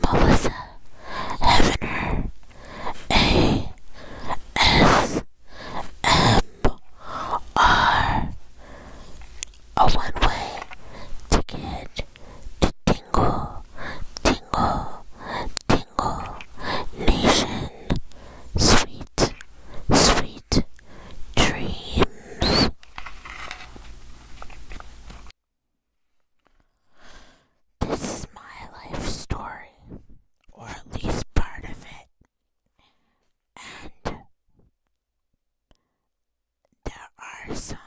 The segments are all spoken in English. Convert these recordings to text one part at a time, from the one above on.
Melissa Hefner A S M R a one-way ticket to Tingle, Tingle, Tingle Nation. Sweet, sweet dreams. This is my life story, or at least part of it. And there are some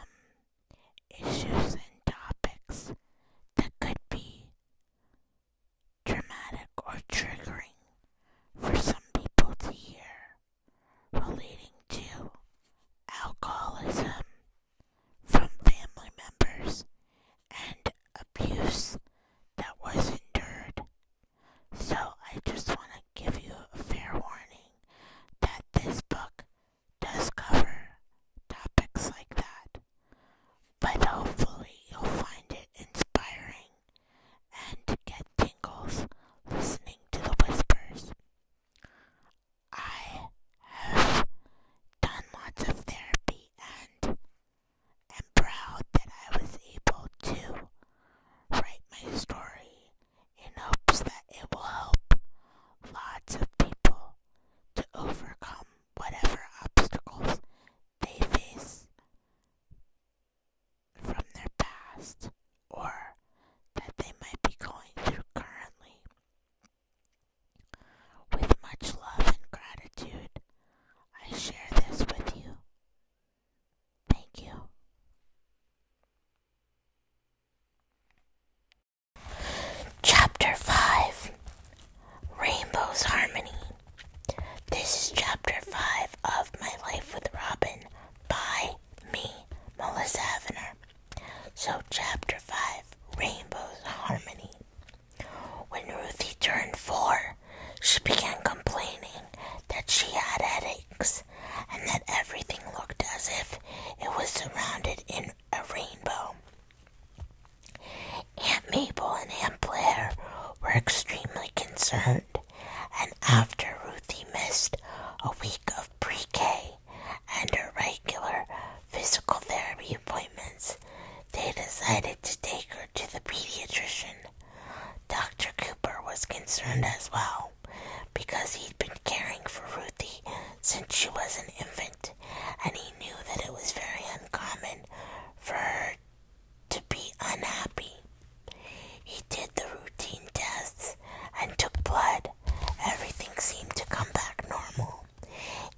issues and topics that could be dramatic or triggering for some people to hear relating to alcoholism from family members and abuse that was endured. So I just want to give you a fair warning that this book does cover topics like that, but hopefully you'll find it inspiring and get tingles listening to the whispers. I have done lots of therapy and am proud that I was able to write my story in hopes that it will help lots of people to overcome whatever obstacles they face from their past or that they might be going through currently. With much love and gratitude, I share this with you. Thank you. Chapter 5 Rainbow's Harmony. This is Chapter 5 of My Life with Robin by me, Melissa Avener. So, chapter 5 Rainbow's Harmony. When Ruthie turned four, she began complaining that she had headaches and that everything looked as if it was surrounded in a rainbow. Aunt Mabel and Aunt Blair were extremely concerned, and after Ruthie missed a week of pre K, under regular physical therapy appointments, they decided to take her to the pediatrician. Dr. Cooper was concerned as well because he'd been caring for Ruthie since she was an infant, and he knew that it was very uncommon for her to be unhappy. He did the routine tests and took blood, everything seemed to come back normal.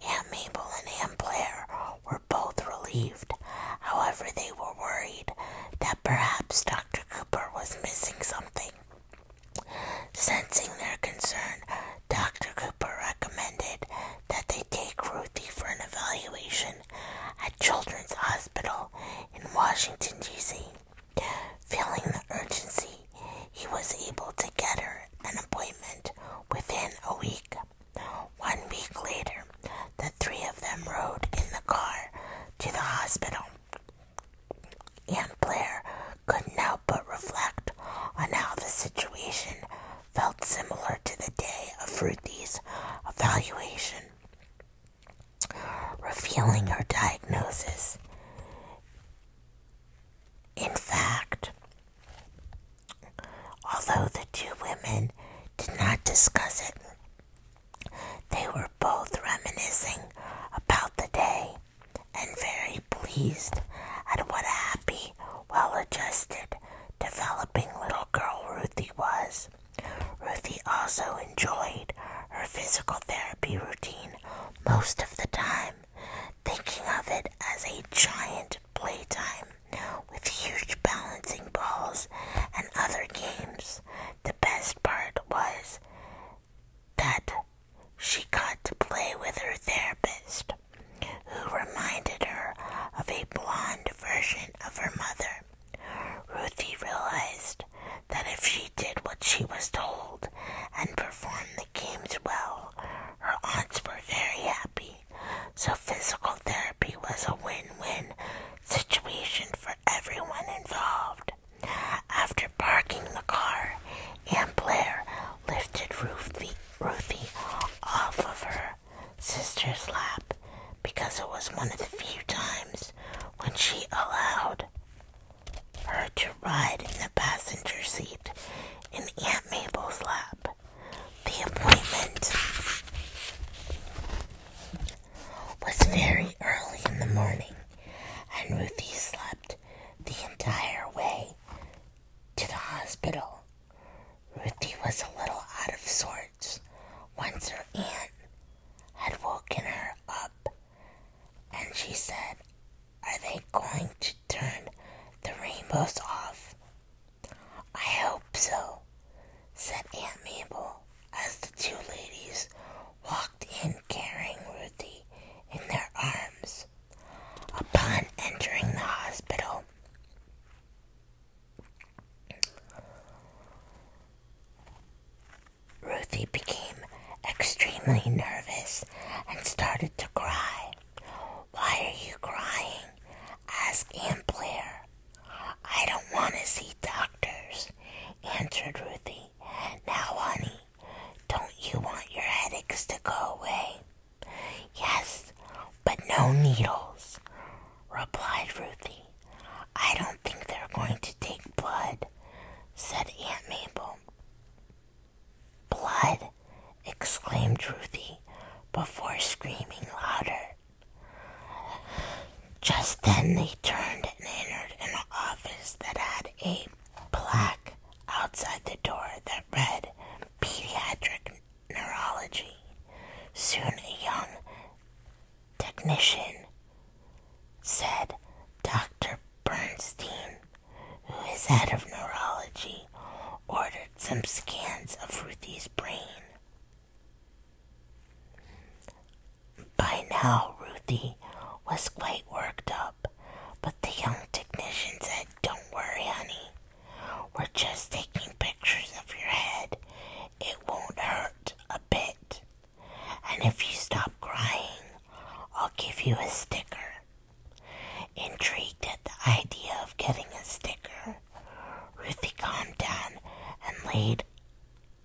and Mabel and Aunt Blair were both relieved. However, they were worried that perhaps Dr. Cooper was missing something. Sensing their concern, Dr. Cooper recommended that they take Ruthie for an evaluation at Children's Hospital in Washington, D.C. Feeling the urgency he was able to get her an appointment within a week. One week later, the three of them rode in the car to the hospital. Aunt Blair couldn't help but reflect on how the situation felt similar to the day of Ruthie's evaluation, revealing her diagnosis. In fact, although the two women did not discuss it, they were both reminiscing about the day and very pleased at what a happy, well adjusted, developing little girl Ruthie was. Ruthie also enjoyed her physical therapy routine most of the time thinking of it as a giant playtime with huge balancing balls and other games. The best part was that she got to play with her therapist, who reminded her of a blonde version of her mother. Ruthie realized that if she did what she was told and performed the games well. Her aunts were very happy, so physical therapy was a win win situation for everyone involved. After parking the car, Aunt Blair lifted Ruthie off of her sister's lap because it was one of the few times when she allowed her to ride in the passenger seat in Aunt Mabel's lap. The appointment was very early in the morning, and Ruthie slept the entire way to the hospital. Ruthie was a little out of sorts once her aunt had woken her up, and she said, are they going to turn the rainbows off? I hope so, said Aunt Mabel as the two ladies walked in carrying Ruthie in their arms. Upon entering the hospital, Ruthie became extremely nervous and started to cry. Why are you crying? asked Aunt Blair. I don't want to see doctors, answered Ruthie. Now, honey, don't you want your headaches to go away? Yes, but no needles, replied Ruthie. I don't think they're going to take blood, said Aunt Mabel. Blood! exclaimed Ruthie before screaming louder. Just then they turned and entered an office that had a plaque outside the door that read Pediatric Neurology. Soon a young technician said, Dr. Bernstein, who is head of neurology, ordered some scans of Ruthie's brain. By now, Ruthie was quite worked up, but the young technician said, Don't worry, honey. We're just taking pictures of your head. It won't hurt a bit. And if you stop crying, I'll give you a sticker. Intrigued at the idea of getting a sticker, Ruthie calmed down and laid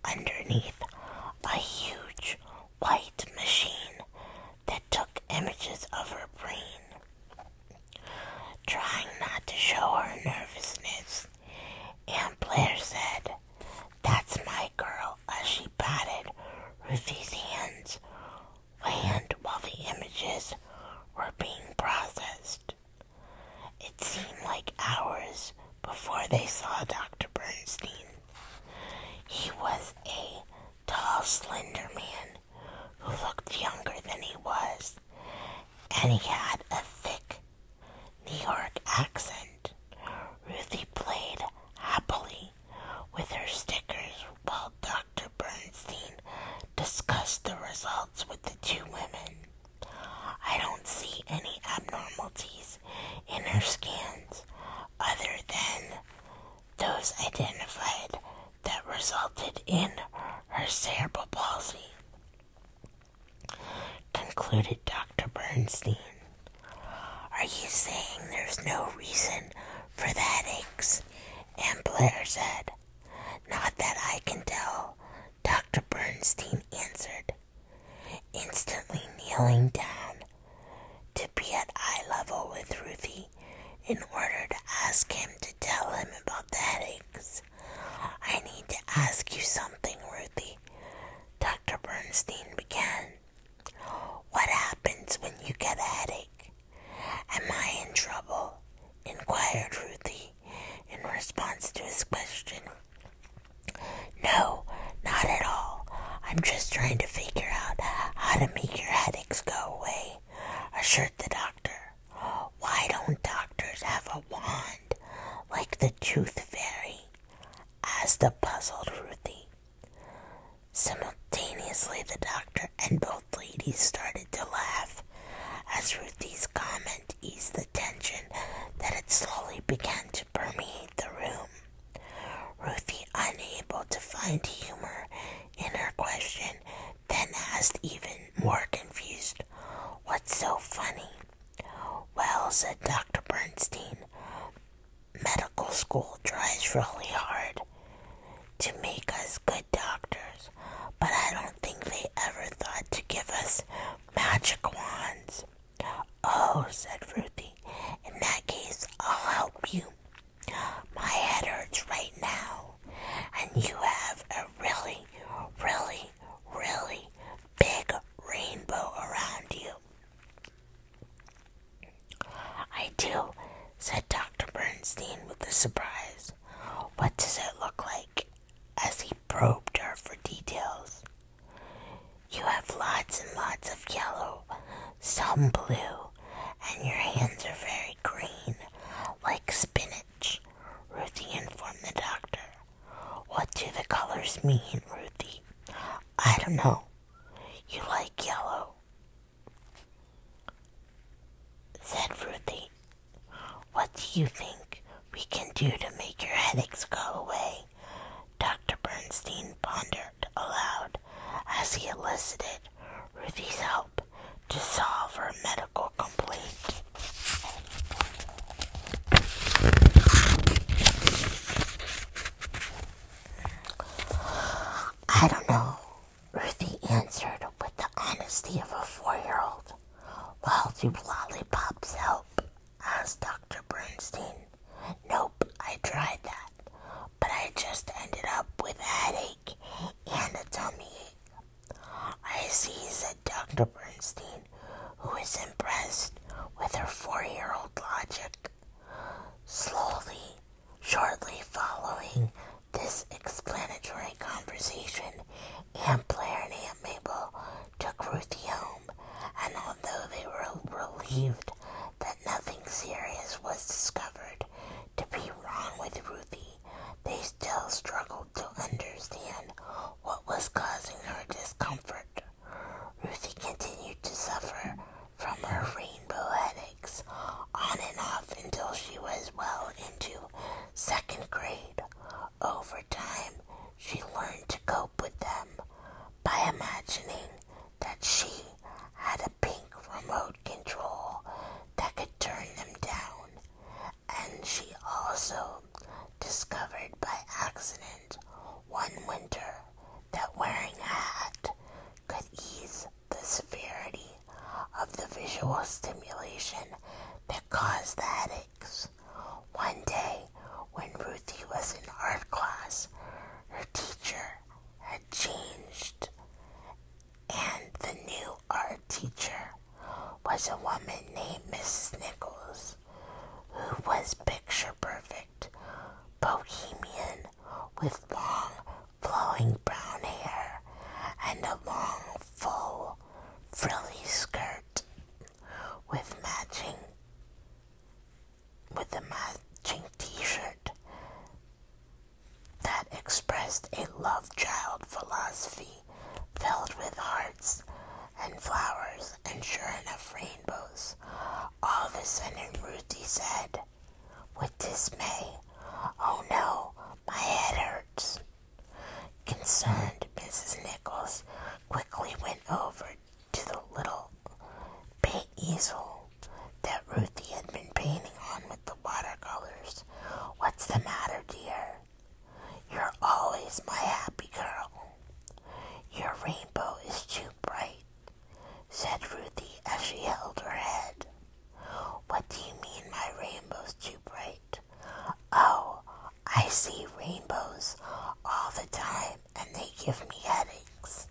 underneath a huge white machine that took images of her brain. Trying not to show her nervousness, Aunt Blair said, That's my girl, as she patted Ruthie's hands land while the images were being processed. It seemed like hours before they saw Dr. Bernstein. He was a tall, slender man who looked younger than he was, and he had a thick New York accent. Ruthie played happily with her stickers while Dr. Bernstein discussed the results with the two women. I don't see any abnormalities in her scans other than those identified that resulted in her cerebral palsy, concluded Dr. Bernstein. Are you saying there's no reason for the headaches and Blair said, Not that I can tell, Dr. Bernstein answered, instantly kneeling down to be at eye level with Ruthie in order to ask him to tell him about the headaches. I need to ask you something, Ruthie. Dr. Bernstein began. What happens when you get a headache? Am I in trouble? inquired Ruthie in response to his question. No, not at all. I'm just trying to figure out how to make your headaches go away, assured the doctor. Why don't doctors have a wand like the tooth fairy? asked the puzzled Ruthie. Simultaneously, the doctor and both ladies started to laugh as Ruthie's comment eased the tension that had slowly begun to permeate the room. Ruthie, unable to find humor in her question, then asked, even more confused, What's so funny? Well, said Dr. Bernstein, medical school tries really hard to make us good doctors, but I don't think they ever thought to give us magic wands. Oh, said Ruthie, in that case, I'll help you. My head hurts right now, and you have a really, really, really big rainbow around you. I do, said Dr. Bernstein with surprise. What does it look like? As he probed her for details. You have lots and lots of yellow, some blue, and your hands are very green, like spinach, Ruthie informed the doctor. What do the colors mean, Ruthie? I don't know. You like yellow said Ruthie. What do you think we can do to make your headaches go away? Dr. Bernstein pondered aloud as he elicited Ruthie's help to solve her medical complaint. I don't know. Ruthie answered with the honesty of a four year old. Well, do lollipops help? asked Dr. Bernstein. Nope, I tried that, but I just ended up with a headache and a tummy ache. I see, said Dr. Bernstein, who was impressed with her four year old logic. Slowly, shortly following this explanatory conversation and Blair and Aunt Mabel took Ruthie home, and although they were relieved that nothing serious was discovered to be wrong with Ruthie, they still struggled to understand what was causing her discomfort. Ruthie continued to suffer from her reading poetics on and off until she was well into second grade. Over time, she learned to cope with them by imagining that she had a pink remote control that could turn them down, and she also discovered by accident one winter that wearing a hat could ease the severity of the visual stimulation that caused the headaches. One day, when Ruthie was in art class, her teacher had changed, and the new art teacher was a woman named Mrs. Nichols, who was picture perfect, bohemian, with long flowing brown hair, and a long, full, frilly skirt with matching with a matching t-shirt that expressed a love child philosophy filled with hearts and flowers and sure enough rainbows. All of a sudden Ruthie said with dismay, Oh no, my head hurts. Concerned, Mrs. Nichols quickly went over to the little paint easel that Ruthie had been painting on with the watercolors. What's the matter, dear? You're always my happy girl. Your rainbow is too bright, said Ruthie as she held her head. What do you mean my rainbow's too bright? Oh, I see rainbows all the time and they give me headaches.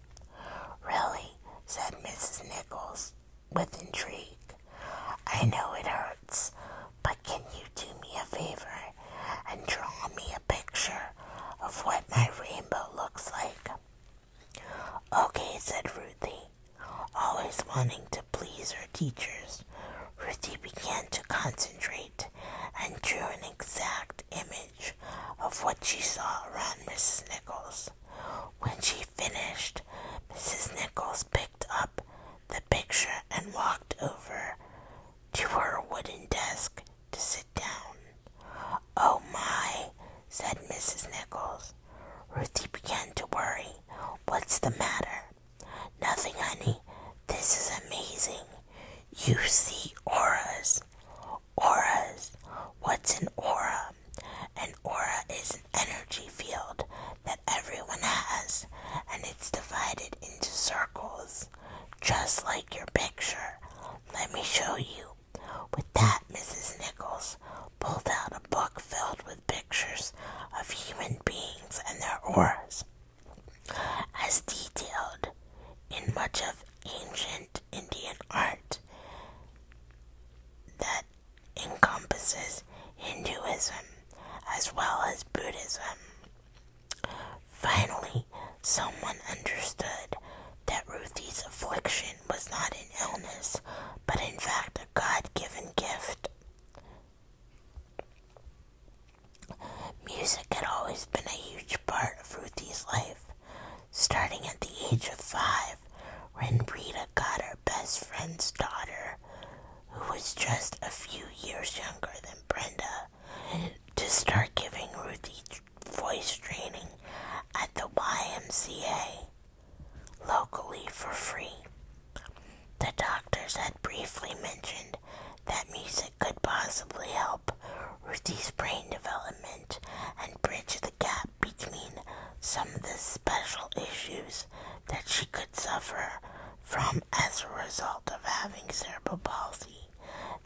Really? said Mrs. Nichols with intrigue. I know it hurts, but can you do me a favor and draw me a picture of what my rainbow looks like? Okay, said Ruthie. Always wanting to please her teachers, Ruthie began to concentrate and drew an exact image of what she saw around Mrs. Nichols. When she finished, Mrs. Nichols picked up the picture and walked over to her wooden desk to sit down. Oh my, said Mrs. Nichols. Ruthie began to worry. What's the matter? Nothing, honey. This is amazing. You see auras. Auras. What's an aura? An aura is an energy field that everyone has, and it's divided into circles, just like your picture. Let me show you. With that, Mrs. Nichols pulled out a book filled with pictures of human beings and their auras, as detailed in much of ancient Indian art that encompasses Hinduism as well as Buddhism. Finally, someone understood that Ruthie's affliction was not an illness, but in fact a God given gift. Music had always been a huge part of Ruthie's life. Starting at the age of five, when Brenda got her best friend's daughter, who was just a few years younger than Brenda, to start giving Ruthie voice training at the YMCA locally for free. The doctors had briefly mentioned that music could possibly help Ruthie's brain development and bridge the gap between some of the special issues that she could suffer from as a result of having cerebral palsy.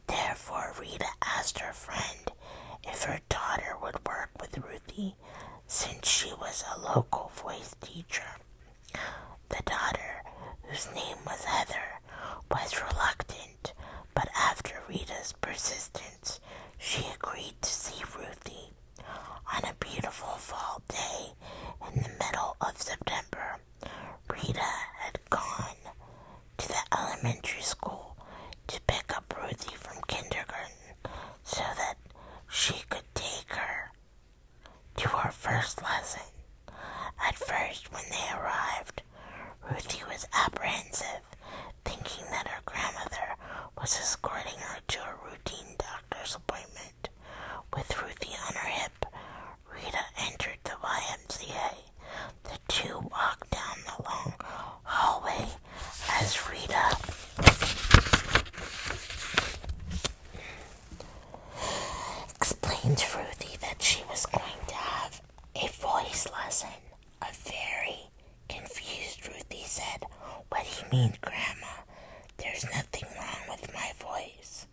Therefore, Rita asked her friend if her daughter would work with Ruthie since she was a local voice teacher. The daughter, whose name was Heather, was reluctant, but after Rita's persistence, she agreed to see Ruthie on a beautiful fall day in the middle of September. Rita had gone to the elementary school to pick up Ruthie from kindergarten so that she could take her to her first lesson. At first, when they arrived, Ruthie was apprehensive, thinking that her grandmother was escorting her to a routine doctor's appointment. With Ruthie on her hip, Rita entered the YMCA. The two walked down the long hallway as Rita. Explained to Ruthie that she was going to have a voice lesson. A very confused Ruthie said, What do you mean, Grandma? There's nothing wrong with my voice.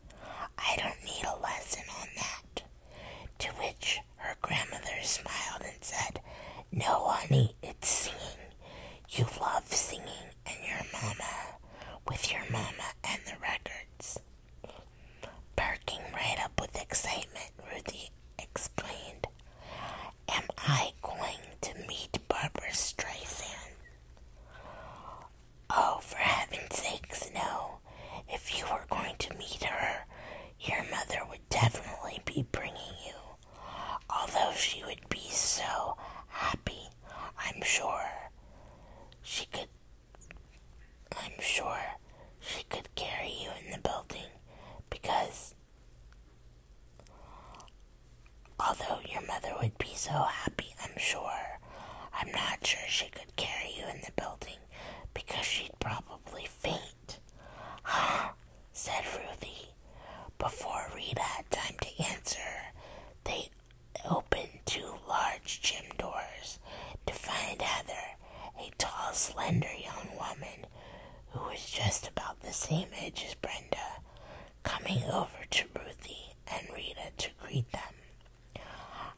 I don't need a lesson on that. To which her grandmother smiled and said, No, honey, it's singing. You love singing and your mama with your mama and the records. Perking right up with excitement, Ruthie explained. Am I going to meet Barbara Streisand? Oh, for heaven's sakes, no. If you were going to meet her, your mother would definitely be bringing you although she would be so happy, I'm sure she could. I'm sure she could carry you in the building because although your mother would be so happy, I'm sure. I'm not sure she could carry you in the building because she'd probably faint. Ha! said Ruthie. Before Rita had time to answer, they opened two large gym doors to find Heather, a tall, slender young woman who was just about the same age as Brenda, coming over to Ruthie and Rita to greet them.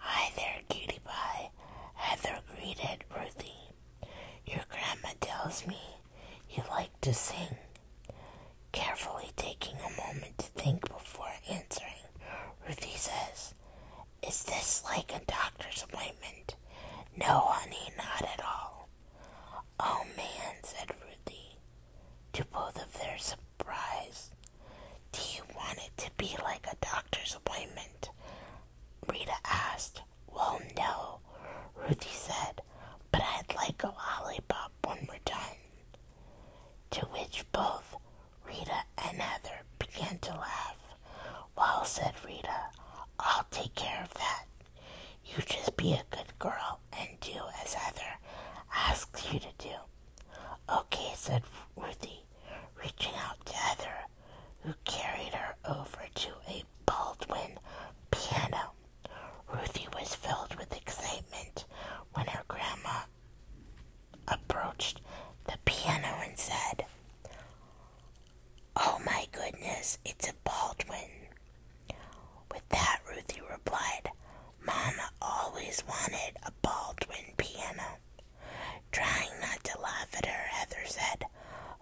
Hi there, cutie pie, Heather greeted Ruthie. Your grandma tells me you like to sing, carefully taking a moment to think before answering. Ruthie says, Is this like a doctor's appointment? No, honey, not at all. Oh man, said Ruthie, to both of their surprise. Do you want it to be like a doctor's appointment? Rita asked. Well, no, Ruthie said, but I'd like a lollipop one more time. To which both Rita and Heather began to laugh. Well, said Rita, I'll take care of that. You just be a good girl and do as Heather asks you to do. Okay, said Ruthie, reaching out to Heather, who carried her over to a Baldwin piano. Ruthie was filled with excitement when her grandma approached the piano and said, Oh my goodness, it's a Baldwin. With that, Ruthie replied, Mama always wanted a Baldwin piano. Trying not to laugh at her, Heather said,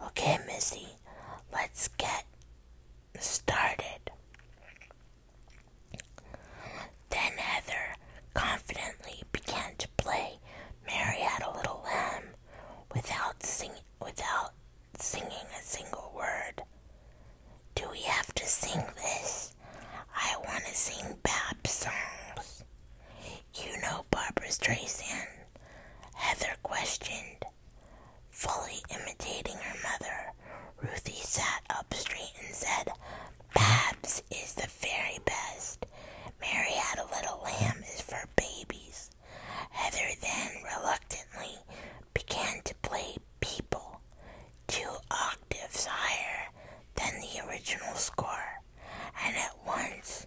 Okay, Missy, let's get started. Then Heather confidently began to play Mary Had a Little Lamb without, sing without singing a single word. Do we have to sing this? I want to sing Bab's songs. You know Barbara Streisand, Heather questioned. Fully imitating her mother, Ruthie sat up straight and said, Babs is the very best. Mary had a little lamb is for babies. Heather then reluctantly began to play people, two octaves higher than the original score, and at once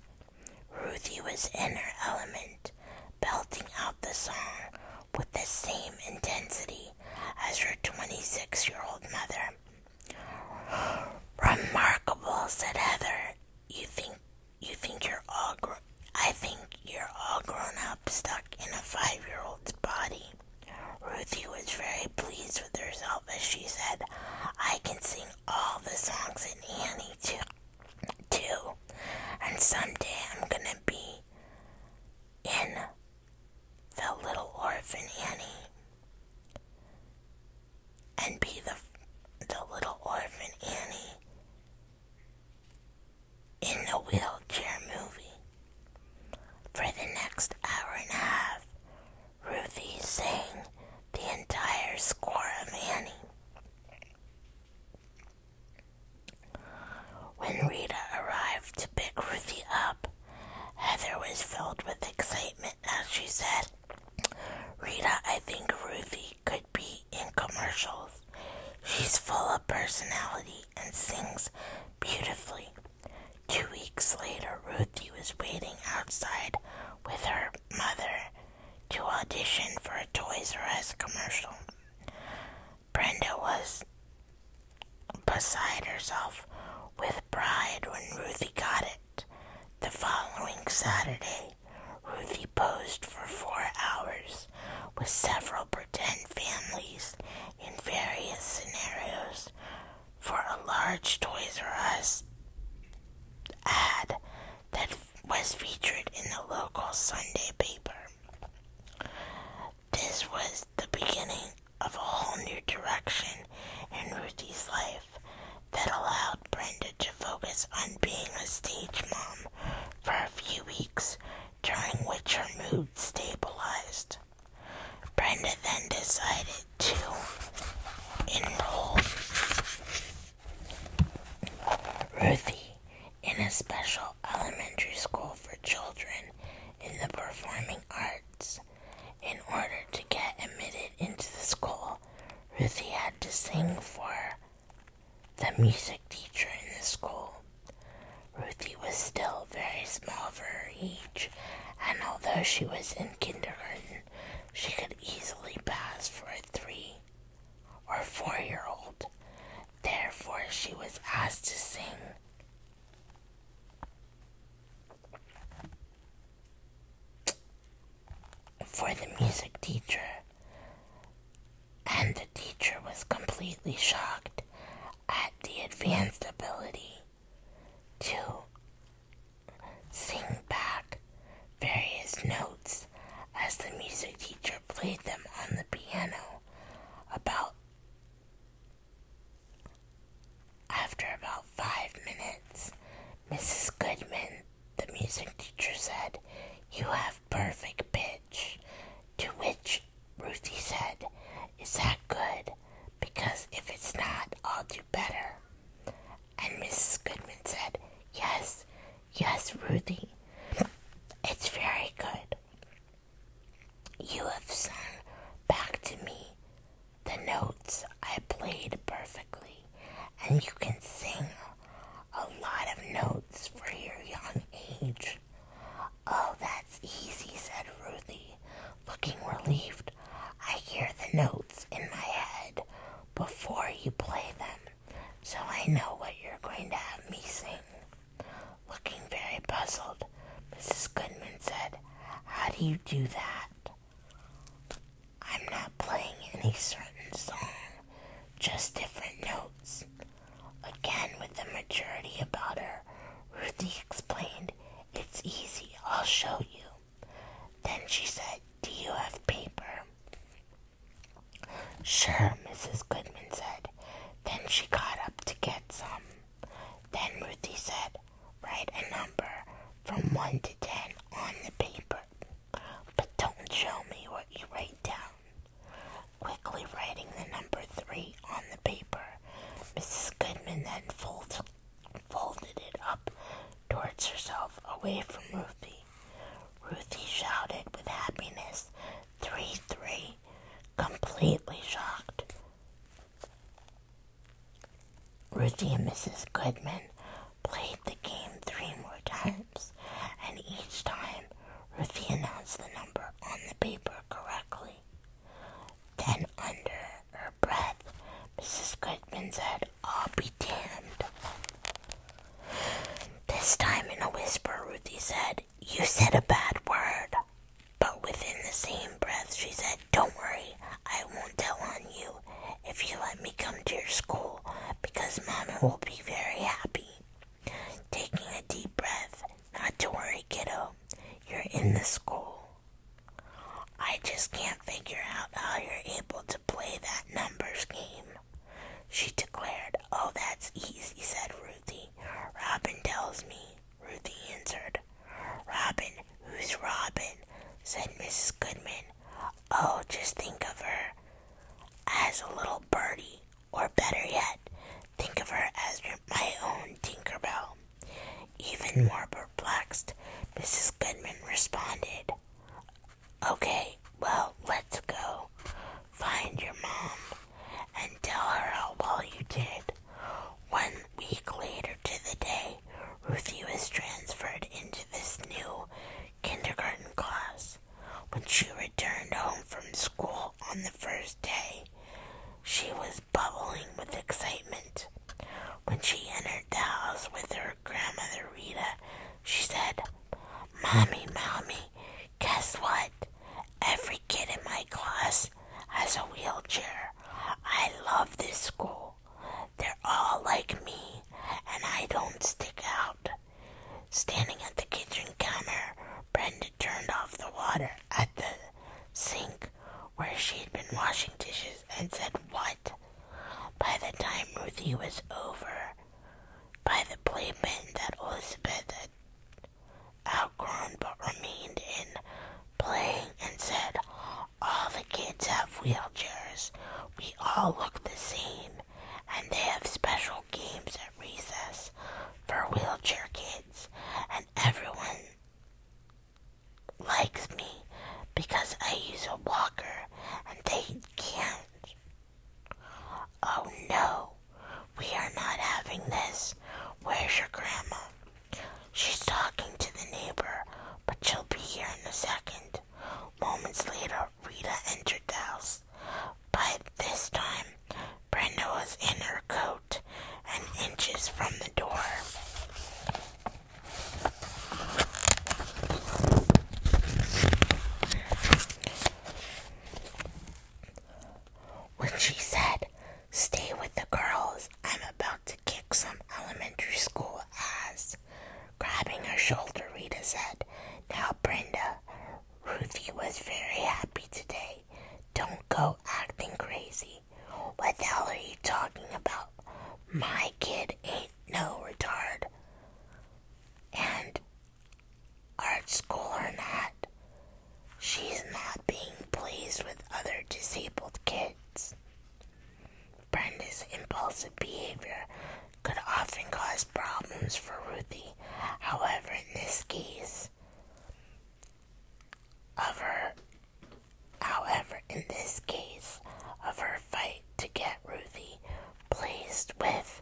Ruthie was in her element, belting out the song with the same intensity as her 26 year old mother. Remarkable, said Heather. You think you think you're all gr I think you're all grown up stuck in a five year old's body. Ruthie was very pleased with herself as she said, I can sing all the songs in Annie too too. And someday I'm gonna be in The Little Orphan Annie and be the, the Little Orphan Annie in the wheelchair movie. For the next hour and a half, Ruthie sang the entire score of Annie. When Rita arrived to pick Ruthie up, Heather was filled with excitement as she said, Rita, I think Ruthie could be in commercials. She's full of personality and sings beautifully. Two weeks later, Ruthie was waiting outside with her mother to audition for a Toys R Us commercial. Brenda was beside herself with pride when Ruthie got it. The following Saturday, Ruthie posed for four hours with several pretend families in various scenarios for a large Toys R Us ad that was featured in the local Sunday paper. This was the beginning of a whole new direction in Ruthie's life that allowed Brenda to focus on being a stage mom for a few weeks, during which her mood stabilized. Brenda then decided to enroll Ruthie in a special elementary school for children in the performing arts. In order to get admitted into the school, Ruthie had to sing for the music teacher in the school. Ruthie was still very small for her age, and although she was in kindergarten, she could easily pass for a three or four year old. Therefore, she was asked to sing for the music teacher. And the teacher was completely shocked at the advanced ability to sing back various notes as the music teacher played them on the piano about after about five minutes, Mrs. Goodman, the music teacher, said, You have perfect pitch. To which Ruthie said, Is that good? Because if it's not, I'll do better. And Mrs. Goodman said, Yes, yes, Ruthie, it's very good. You have sung back to me the notes I played perfectly, and you can sing a lot of notes for your young age. Oh, that's easy, said Ruthie, looking relieved. I hear the notes in my head before you play them, so I know what you're going to have me sing. Looking very puzzled, Mrs. Goodman said, How do you do that? I'm not playing any certain song, just different notes. Again, with the maturity about her, Ruthie explained, It's easy, I'll show you. Then she said, Do you have paper? Sure, Mrs. Goodman said. Then she got up to get some. Then Ruthie said, Write a number from 1 to 10 on the paper, but don't show me what you write down. Quickly writing the number 3 on the paper, Mrs. Goodman then fold, folded it up towards herself away from Ruthie. Ruthie shouted with happiness, Three, three completely, shocked. Ruthie and Mrs. Goodman played the game three more times, and each time Ruthie announced the number on the paper correctly. Then, under her breath, Mrs. Goodman said, I'll be damned. This time, in a whisper, Ruthie said, you said a bad word. But within the same breath, she said, Don't worry, I won't tell on you if you let me come to your school because Mama will be very happy. Taking a deep breath, Not to worry, kiddo, you're in the school. I just can't figure out how you're able to play that numbers game. She declared, Oh, that's easy, said Ruthie. Robin tells me. Ruthie answered. Robin, who's Robin? said Mrs. Goodman. Oh, just think of her as a little birdie, or better yet, think of her as my own Tinkerbell. Even hmm. more perplexed, Mrs. Goodman responded, Okay, well, let's go. Find your mom and tell her how well you did. One week later to the day, Ruthie was transferred into this new kindergarten class. When she returned home from school on the first day, she was bubbling with excitement. When she entered the house with her grandmother Rita, she said, Mommy, Mommy, guess what? Every kid in my class as a wheelchair. I love this school. They're all like me, and I don't stick out. Standing at the kitchen counter, Brenda turned off the water at the sink where she'd been washing dishes and said, What? By the time Ruthie was over, by the playpen that Elizabeth had outgrown but remained in playing and said, All the kids have wheelchairs. We all look the same. And they have special games at recess for wheelchair kids. And everyone likes me because I use a walker and they can't. Oh no, we are not having this. Where's your grandma? She's talking to the neighbor, but she'll be here in a second. Moments later, Rita entered the house. but this time, Brenda was in her coat and inches from the door. When she said, Stay with the girls. I'm about to kick some elementary school ass. Grabbing her shoulder, Rita said, Now, Brenda, Ruthie was very happy today. Don't go acting crazy. What the hell are you talking about? My kid ain't no retard. And art school or not, She's not being pleased with other disabled kids. Brenda's impulsive behavior could often cause problems for Ruthie. However, in this case, of her, however, in this case, of her fight to get Ruthie placed with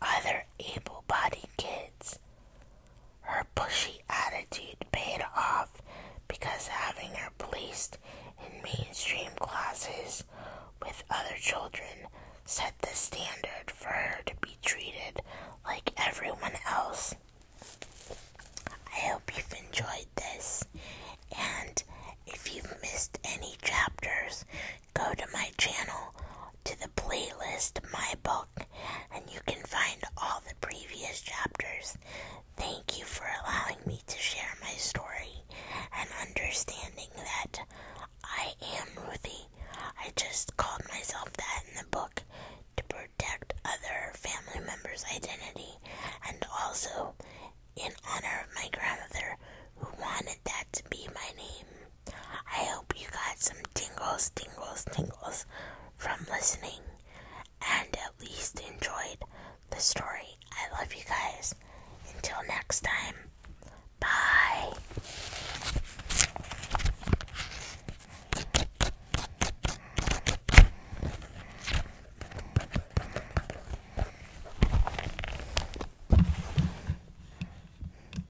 other able bodied kids. Her pushy attitude paid off because having her placed in mainstream classes with other children set the standard for her to be treated like everyone else. I hope you've enjoyed this, and if you've missed any chapters, go to my channel to the playlist My Book and you can find all the previous chapters. Thank you for allowing me to share my story and understanding that I am Ruthie. I just called myself that in the book to protect other family members' identity and also in honor of my grandmother who wanted that to be my name. I hope you got some tingles, tingles, tingles from listening and at least enjoyed the story. I love you guys. Until next time, bye.